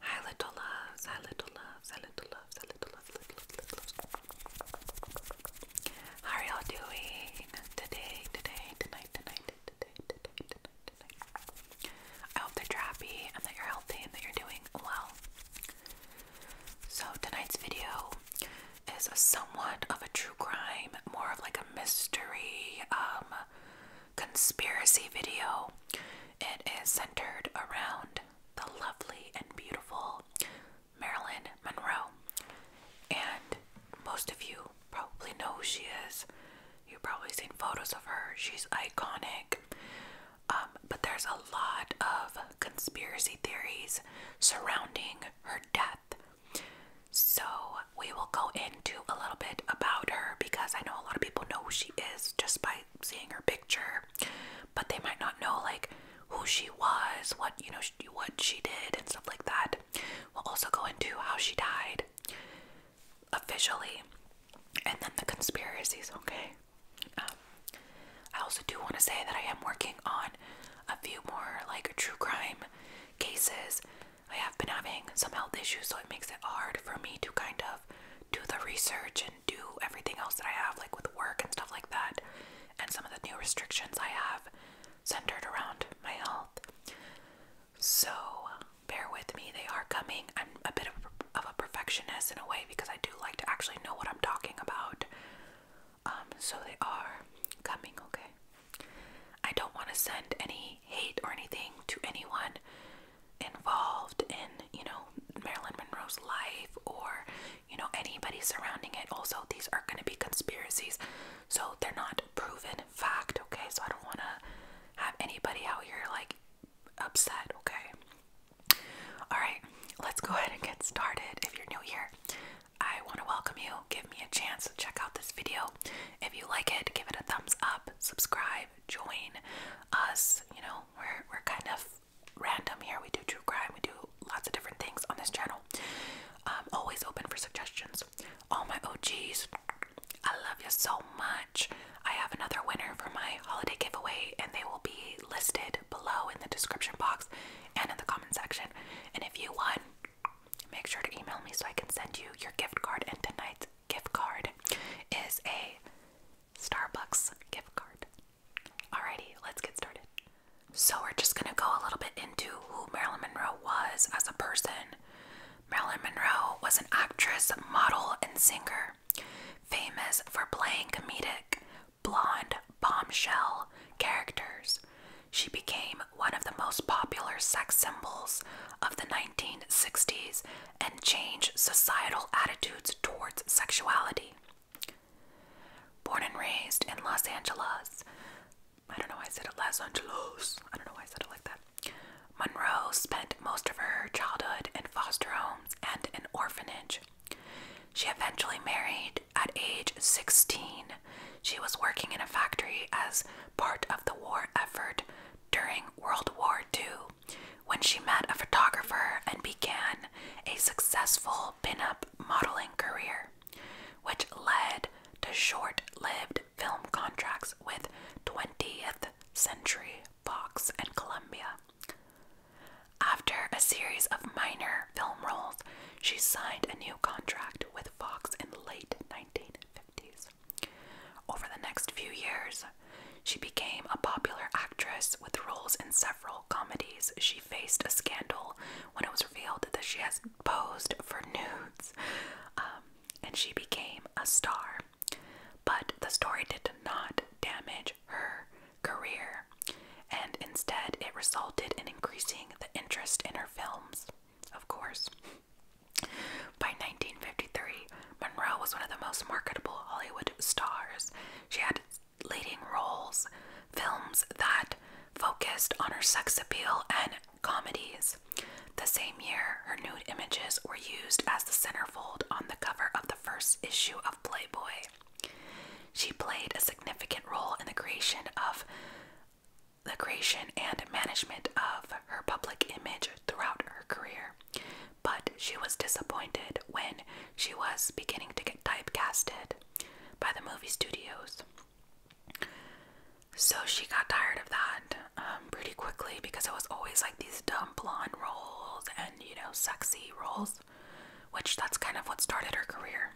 Hi little loves, hi little loves, hi little loves, hi little loves, little loves, little loves. How are y'all doing today, today, tonight, tonight, today, today, tonight, tonight? I hope that you're happy and that you're healthy and that you're doing well. So tonight's video is a somewhat of a true crime, more of like a mystery, um, conspiracy video. It is centered around the lovely and beautiful Marilyn Monroe. And most of you probably know who she is. You've probably seen photos of her. She's iconic. Um, but there's a lot of conspiracy theories surrounding her death. So we will go into a little bit about her because I know a lot of people know who she is just by seeing her picture, but they might not know like who she was, what you know, what she did, and stuff like that. We'll also go into how she died officially, and then the conspiracies. Okay. Um, I also do want to say that I am working on a few more like true crime cases I have been having some health issues, so it makes it hard for me to kind of do the research and do everything else that I have, like with work and stuff like that. And some of the new restrictions I have centered around my health. So bear with me, they are coming. I'm a bit of, of a perfectionist in a way because I do like to actually know what I'm talking about. Um, so they are coming, okay? I don't want to send any hate or anything to anyone involved in, you know, Marilyn Monroe's life or, you know, anybody surrounding it. Also, these are going to be conspiracies, so they're not proven fact, okay? So I don't want to have anybody out here like upset, okay? All right, let's go ahead and get started. If you're new here, I want to welcome you. Give me a chance to check out this video. If you like it, give it a thumbs up, subscribe join us. You know, we're we're kind of random here. We do true crime, we do lots of different things on this channel. Um, always open for suggestions. All my OGs, I love you so much. I have another winner for my holiday giveaway, and they will be listed below in the description box and in the comment section. And if you won, make sure to email me so I can send you your gift card and tonight's gift card is a Starbucks gift card. Alrighty, let's get started. So, we're just gonna go a little bit into who Marilyn Monroe was as a person. Marilyn Monroe was an actress, model, and singer, famous for playing comedic, blonde, bombshell characters. She became one of the most popular sex symbols of the 1960s and change societal attitudes towards sexuality. Born and raised in Los Angeles, I don't know why I said Los Angeles, I don't know why I said it like that. Monroe spent most of her childhood in foster homes and an orphanage. She eventually married at age 16. She was working in a factory as part of the war effort during World War II when she met a photographer and began a successful pin-up modeling career, which led to short lived film contracts with 20th Century Fox and Columbia. After a series of minor film roles, she signed a new contract with Fox in the late 1950s. Over the next few years, she became a popular actress with roles in several comedies. She faced a scandal when it was revealed that she has posed for nudes, um, and she became a star. But the story did not damage her career, and instead, it resulted in increasing the interest in her films, of course. By 1953, Monroe was one of the most marketable Hollywood stars. She had leading roles, films that focused on her sex appeal, and comedies. The same year, her nude images were used as the centerfold on the cover of the first issue of Playboy. She played a significant role in the creation of the creation and management of her public image throughout her career, but she was disappointed when she was beginning to get typecasted by the movie studios. So she got tired of that um, pretty quickly because it was always like these dumb blonde roles and you know, sexy roles, which that's kind of what started her career.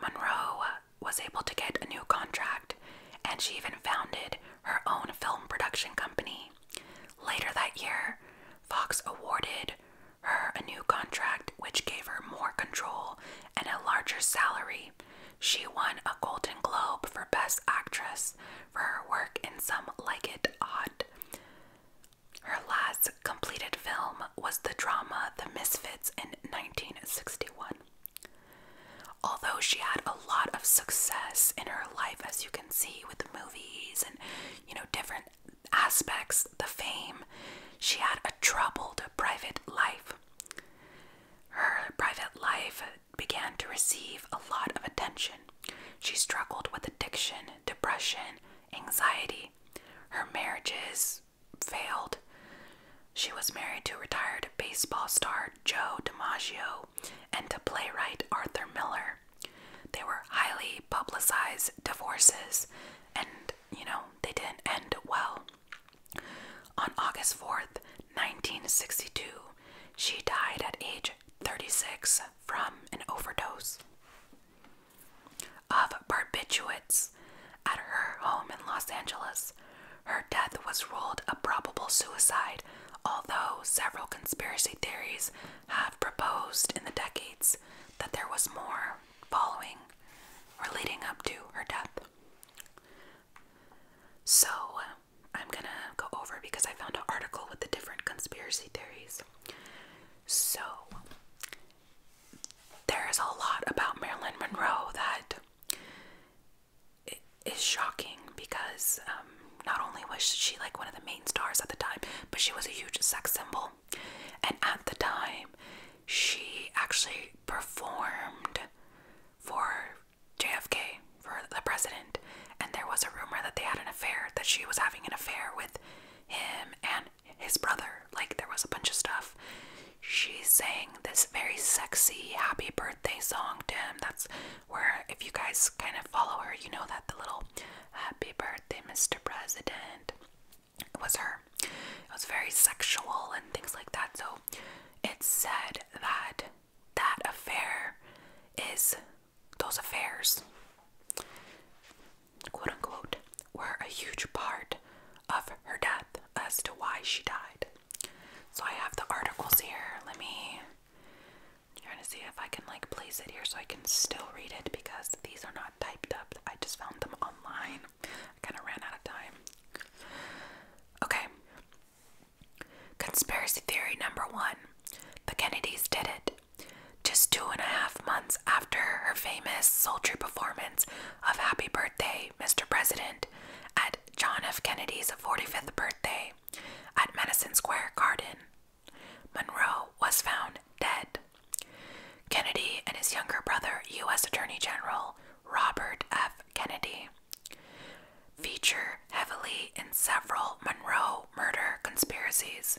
Monroe was able to get a new contract, and she even founded her own film production company. Later that year, Fox awarded her a new contract which gave her more control and a larger salary. She won a Golden Globe for Best Actress for her work in Some Like It Hot. Her last completed film was the drama The Misfits in 1961. Although she had a lot of success in her life, as you can see with the movies and you know different aspects, the fame, she had a troubled private life. Her private life began to receive a lot of attention. She struggled with addiction, depression, anxiety, her marriages failed. She was married to retired baseball star Joe DiMaggio and to playwright Arthur Miller. They were highly publicized divorces, and you know, they didn't end well. On August 4th, 1962, she died at age 36 from an overdose of barbiturates at her home in Los Angeles. Her death was ruled a probable suicide, although several conspiracy theories have proposed in the decades that there was more following or leading up to her death. So, I'm gonna go over because I found an article with the different conspiracy theories. So there's a lot about Marilyn Monroe that is shocking because um, not only was she like one of the main stars at the time, but she was a huge sex symbol. And at the time, she actually performed for JFK, for the president. And there was a rumor that they had an affair, that she was having an affair with him and his brother. Like there was a bunch of stuff. She sang this very sexy happy birthday song to him. That's where, if you guys kind of follow her, you know that the little happy birthday, Mr. President, was her. It was very sexual and things like that. So it said that that affair is those affairs, quote unquote, were a huge part of her death as to why she died. So I have the articles here. Let me I'm trying to see if I can like place it here so I can still read it because these are not typed up. I just found them online. I kind of ran out of time. Okay. Conspiracy theory number one. The Kennedys did it. Just two and a half months after her famous sultry performance of Happy Birthday, Mr. President, at John F. Kennedy's 45th birthday at Madison Square Garden, Monroe was found dead. Kennedy and his younger brother, U.S. Attorney General Robert F. Kennedy, feature heavily in several Monroe murder conspiracies.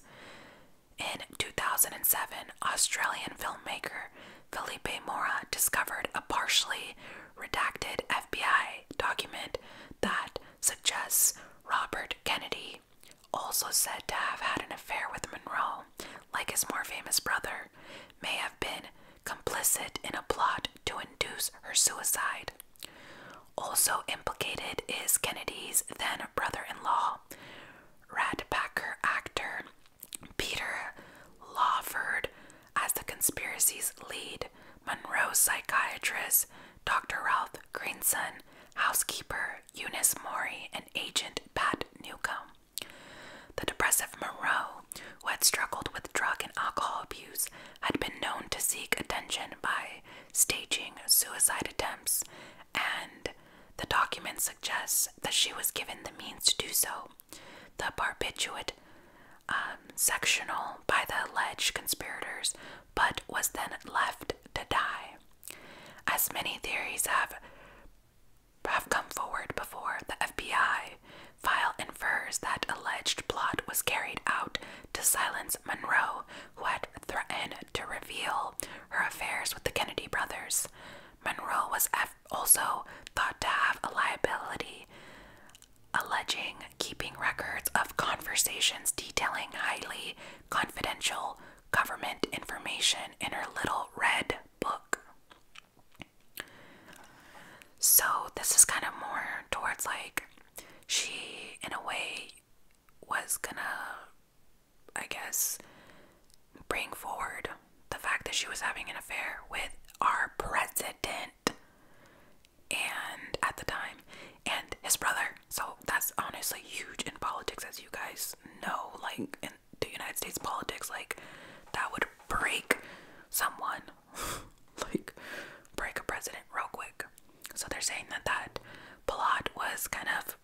In 2007, Australian filmmaker Felipe Mora discovered a partially redacted FBI document that suggests Robert Kennedy, also said to have had an affair with Monroe, like his more famous brother, may have been complicit in a plot to induce her suicide. Also implicated is Kennedy's then brother in law, Radpacker actor Peter Lawford, as the conspiracy's lead, Monroe's psychiatrist, Dr. Ralph Greenson, housekeeper Eunice Morey, and agent Pat Newcomb. The depressive Moreau, who had struggled with drug and alcohol abuse, had been known to seek attention by staging suicide attempts, and the document suggests that she was given the means to do so. The barbiturate um, sectional by the alleged conspirators, but was then left to die. As many theories have have come forward before, the FBI file infers that alleged plot was carried out to silence Monroe, who had threatened to reveal her affairs with the Kennedy brothers. Monroe was also thought to have a liability, alleging keeping records of conversations detailing highly confidential government information in her little red book. So, this is kind of more towards like she, in a way, was gonna, I guess, bring forward the fact that she was having an affair with our president and at the time and his brother so that's honestly huge in politics as you guys know like in the united states politics like that would break someone like break a president real quick. So they're saying that that plot was kind of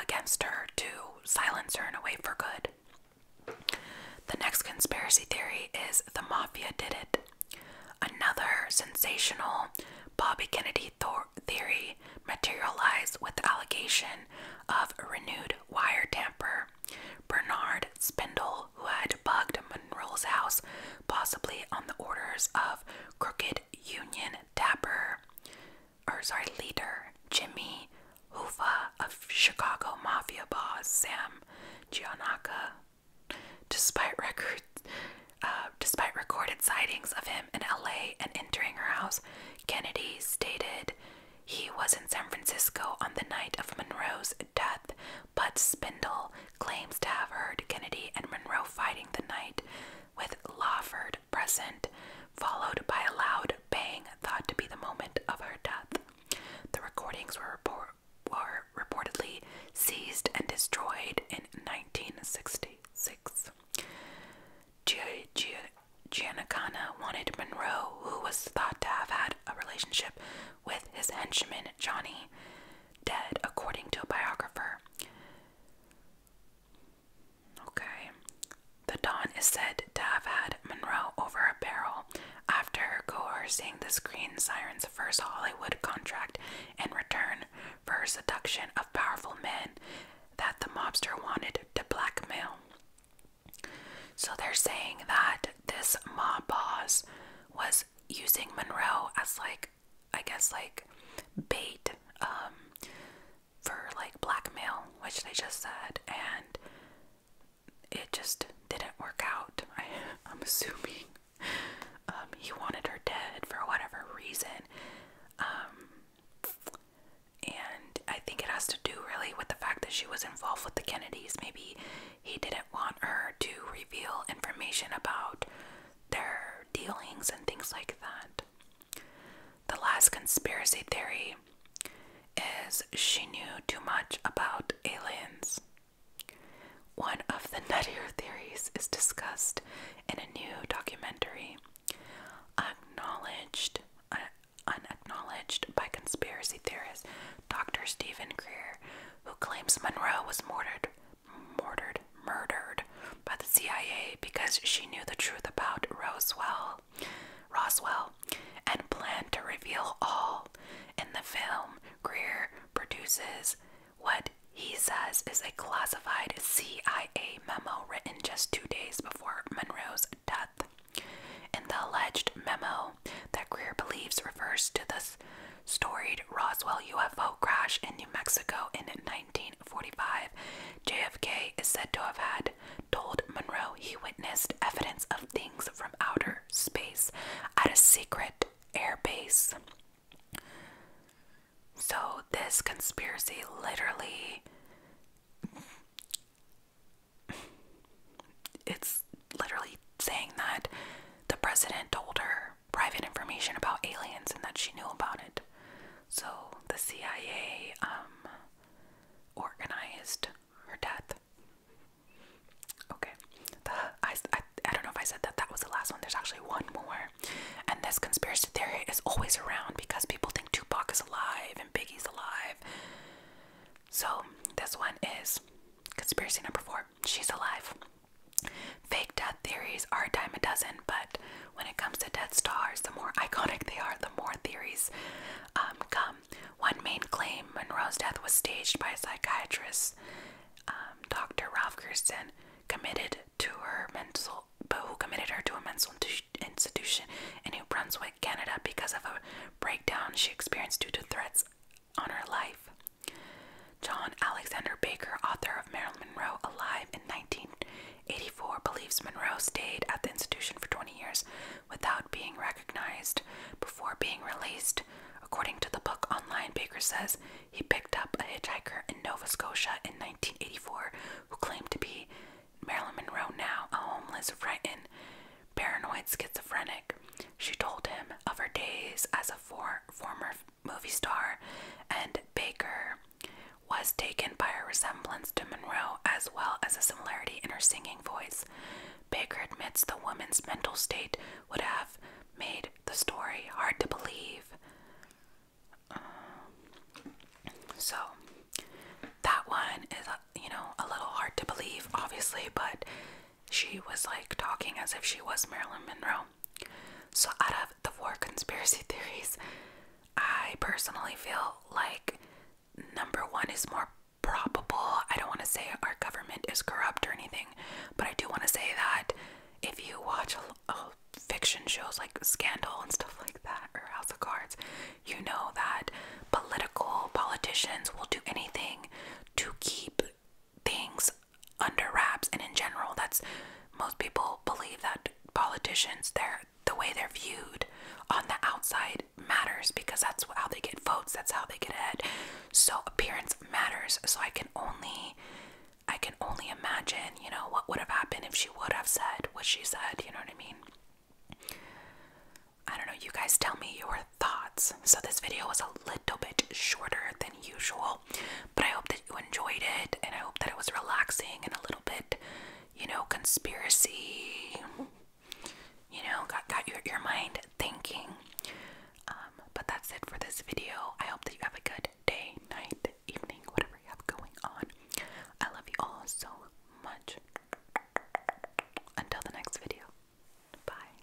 against her to silence her and away for good. The next conspiracy theory is the mafia did it. Another sensational Bobby Kennedy theory materialized with allegation of renewed wire tamper. Bernard Spindle, who had bugged Monroe's house, possibly on the orders of crooked Union Dapper, or sorry, leader Jimmy Hoofa of Chicago mafia boss Sam Giannaca. Despite records, uh, despite recorded sightings of him in LA and entering her house, Kennedy stated he was in San Francisco on the night of Monroe's death but Spindle claims to have heard Kennedy and Monroe fighting the night, with Lawford present, followed by a loud bang thought to be the moment of her death. The recordings were, report reportedly seized and destroyed in 1966. G G wanted Monroe, who was thought to have had a relationship with his henchman Johnny, dead according to a biographer. Okay. The Don is said to have had Monroe over a barrel after coercing the screen siren's first Hollywood contract in return for her seduction of powerful men that the mobster wanted to blackmail. So they're saying that this mob boss was using Monroe as like I guess like bait um for like blackmail, which they just said, and it just didn't work out. I, I'm assuming um, he wanted her dead for whatever reason. Um, and I think it has to do really with the fact that she was involved with the Kennedys. Maybe he didn't want her to reveal information about their dealings and things like that. The last conspiracy theory is she knew too much about aliens. One of the nuttier theories is discussed in a new documentary, Acknowledged, uh, Unacknowledged by Conspiracy Theorists. Dr. Stephen Greer, who claims Monroe was murdered, murdered, murdered by the CIA because she knew the truth about Roswell, Roswell, and planned to reveal all. In the film, Greer produces what he says is a classified CIA memo written just two days before Monroe's death. In the alleged memo that Greer believes refers to the storied Roswell UFO crash in New Mexico in 1945, JFK is said to have had told Monroe he witnessed evidence of things from outer space at a secret airbase. So, this conspiracy literally it's literally saying that the president told her private information about aliens and that she knew about it. So the CIA um, organized her death. Okay, the, I, I, I don't know if I said that that was the last one. There's actually one more. And this conspiracy theory is always around because people think Tupac is alive and Biggie's alive. So this one is conspiracy number four. She's alive. Fake death theories are a dime a dozen, but when it comes to dead Stars, the more iconic they are, the more theories um, come. One main claim Monroe's death was staged by a psychiatrist, um, Dr. Ralph Kirsten, committed to her mental, but who committed her to a mental institution in New Brunswick, Canada, because of a breakdown she experienced due to threats on her life. John Alexander Baker, author of Marilyn Monroe Alive in 1984, believes Monroe stayed at the institution for 20 years without being recognized before being released. According to the book online, Baker says he picked up a hitchhiker in Nova Scotia in 1984 who claimed to be Marilyn Monroe now, a homeless, frightened, paranoid schizophrenic. She told him of her days as a for former movie star, and Baker was taken by her resemblance to Monroe as well as a similarity in her singing voice. Baker admits the woman's mental state would have made the story hard to believe. Um, so, that one is, uh, you know, a little hard to believe, obviously, but she was like talking as if she was Marilyn Monroe. So, out of the four conspiracy theories, I personally feel like number one is more probable. I don't want to say our government is corrupt or anything, but I do want to say that if you watch a, fiction shows like Scandal and stuff like that, or House of Cards, you know that political politicians will do anything to keep things under wraps and in general that's most people believe that politicians they're the way they're viewed on the outside matters because that's how they get votes that's how they get ahead so appearance matters so i can only i can only imagine you know what would have happened if she would have said what she said you know what i mean I don't know, you guys tell me your thoughts. So, this video was a little bit shorter than usual, but I hope that you enjoyed it and I hope that it was relaxing and a little bit, you know, conspiracy, you know, got, got your, your mind thinking. Um, but that's it for this video. I hope that you have a good day, night, evening, whatever you have going on. I love you all so much. Until the next video. Bye.